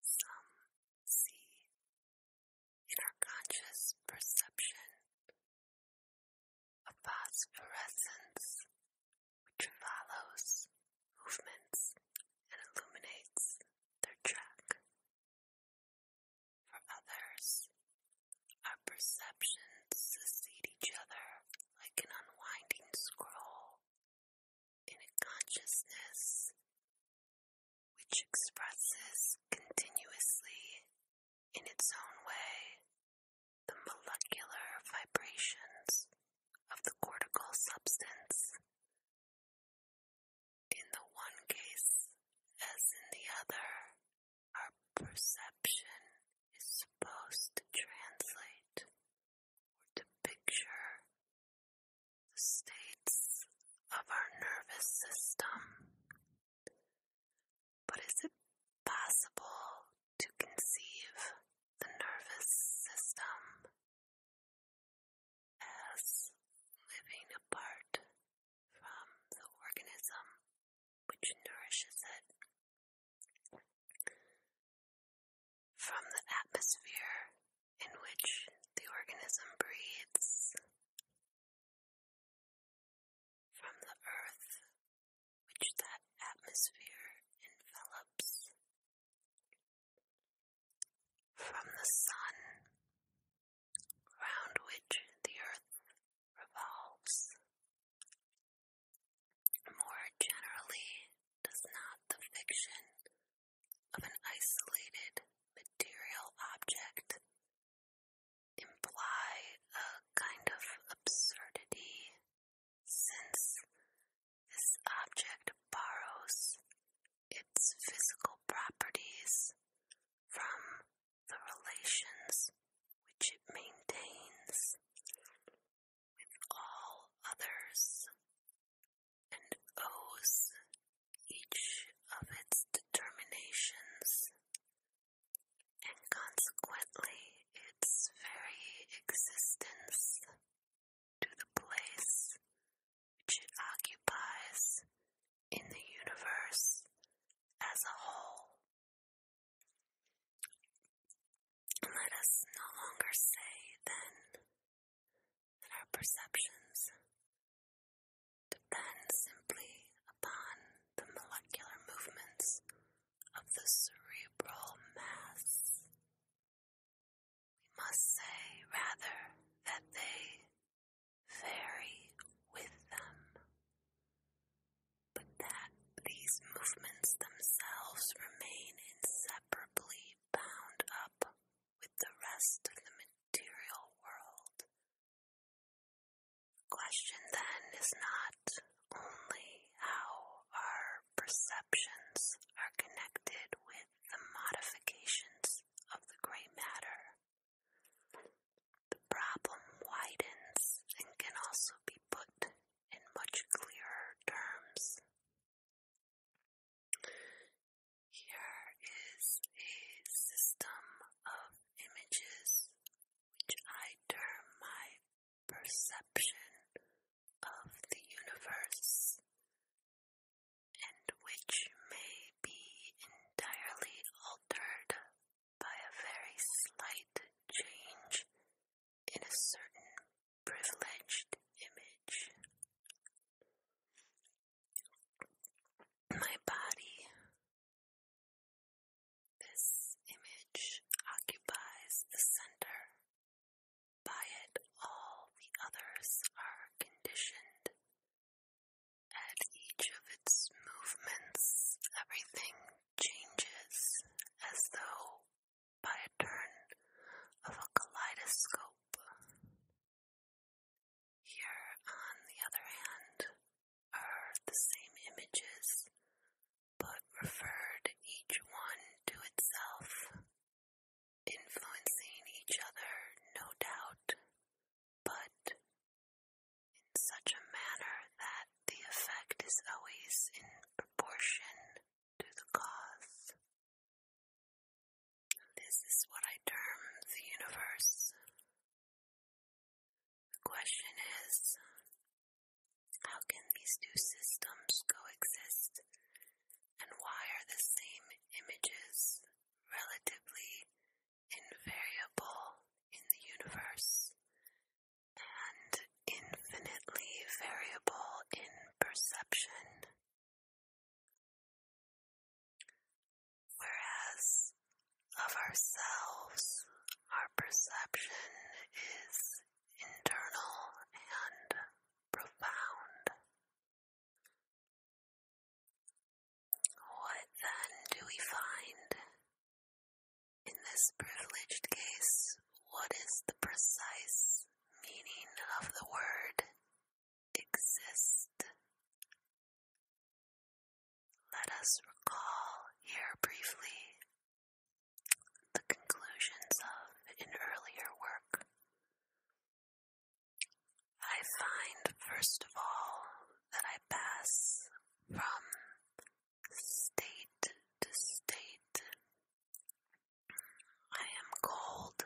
Some see in our conscious perception a phosphorescence which follows movements and illuminates their track. For others, our perceptions succeed each other like an unwinding scroll in a consciousness which expresses continuously in its own way the molecular vibrations of the cortical substance. In the one case, as in the other, our perception is supposed to translate or to picture the states of our nervous system. But is it possible to conceive the nervous system as living apart from the organism which nourishes it? From the atmosphere in which the organism breathes, from the earth which that atmosphere envelops, from the sun round which the earth revolves, more generally, does not the fiction of an isolated material object imply a kind of absurdity, since this object borrows its physical properties from the relations which it maintains with all others, and owes each of its determinations and consequently its very existence to the place which it occupies in the universe as a whole. Let us no longer say, then, that our perceptions depend simply upon the molecular movements of the cerebral mass. We must say, rather, that they vary with them but that these movements themselves remain inseparably bound up with the rest of the material world. The question then is not only how our perceptions are connected with the modifications of the gray matter. The problem widens and can also be put in much clearer terms. Here is a system of images which I term my perception of the universe, and which may be entirely altered by a very slight change in a certain privileged image. My body, this image occupies the center. By it, all the others are conditioned. At each of its movements, everything changes as though by a turn of a kaleidoscope. Here, on the other hand, are the same images, but referred each one to itself, influencing each other, no doubt, but in such a manner that the effect is always in proportion to the cause. This is what I term the universe. The question is how can these two systems coexist and why are the same images relatively invariable in the universe, and infinitely variable in perception. Whereas of ourselves, our perception is internal and profound. What then do we find? In this privileged case, what is the precise meaning of the word exist? Let us recall here briefly the conclusions of an earlier work. I find, first of all, that I pass from state to state. I am cold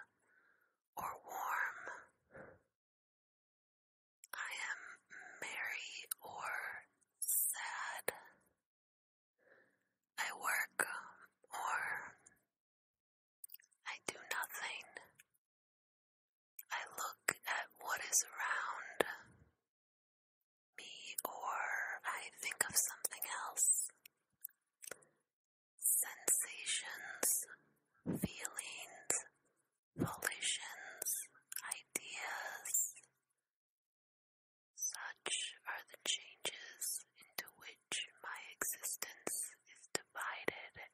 or warm. I am merry or sad. I work or I do nothing. I look at what is around me, or I think of something else. Sensations, feelings, volitions, ideas. Such are the changes into which my existence is divided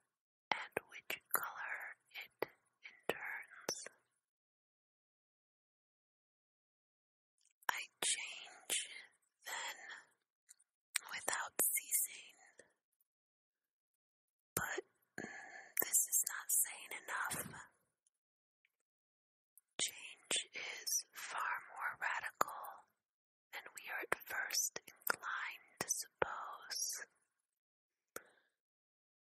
and which color it turns. I change then without ceasing, but mm, this is not sane enough. Change is far more radical and we are at first inclined to suppose.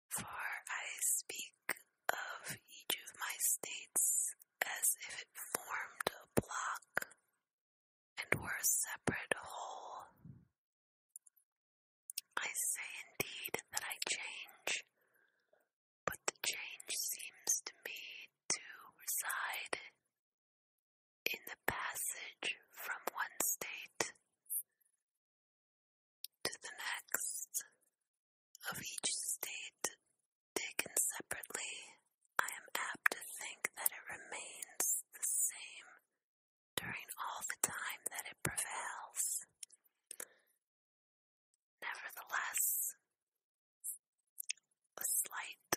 For I speak of each of my states as if it formed a block and were a separate whole. I say indeed that I change, but the change seems to me to reside in the passage from one state to the next of each state taken separately, I am apt to think that it remains the same during all the time that it prevails. Nevertheless, a slight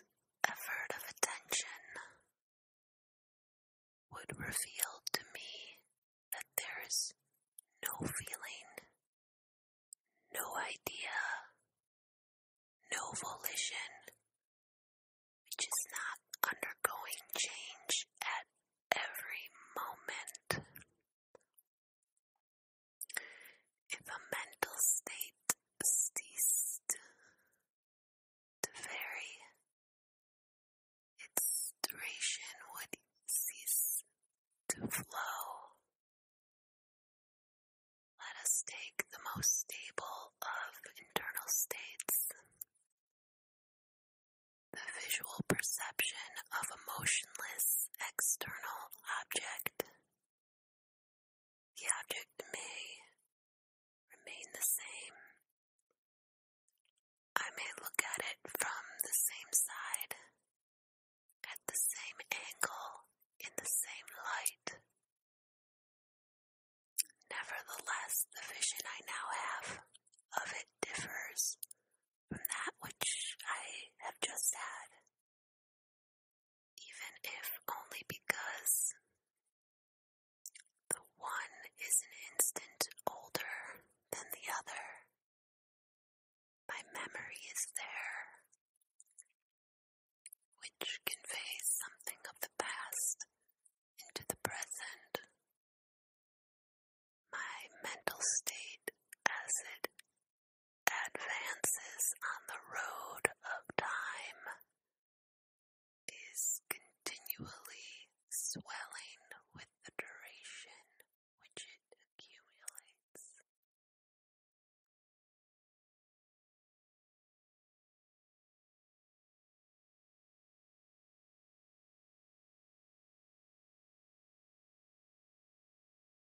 effort of attention would reveal to me that there is no feeling, no idea, no volition, which is not undergoing change at every moment. If a mental state ceased to vary, its duration would cease to flow. Let us take the most stable of internal states, the visual perception of a motionless external object the object may remain the same. I may look at it from the same side, at the same angle, in the same light. Nevertheless, the vision I now have of it differs from that which I have just had even if only because the one is an instant older than the other. My memory is there, which conveys something of the past into the present. My mental state as it advances on the road of time is continually swelling with the duration which it accumulates.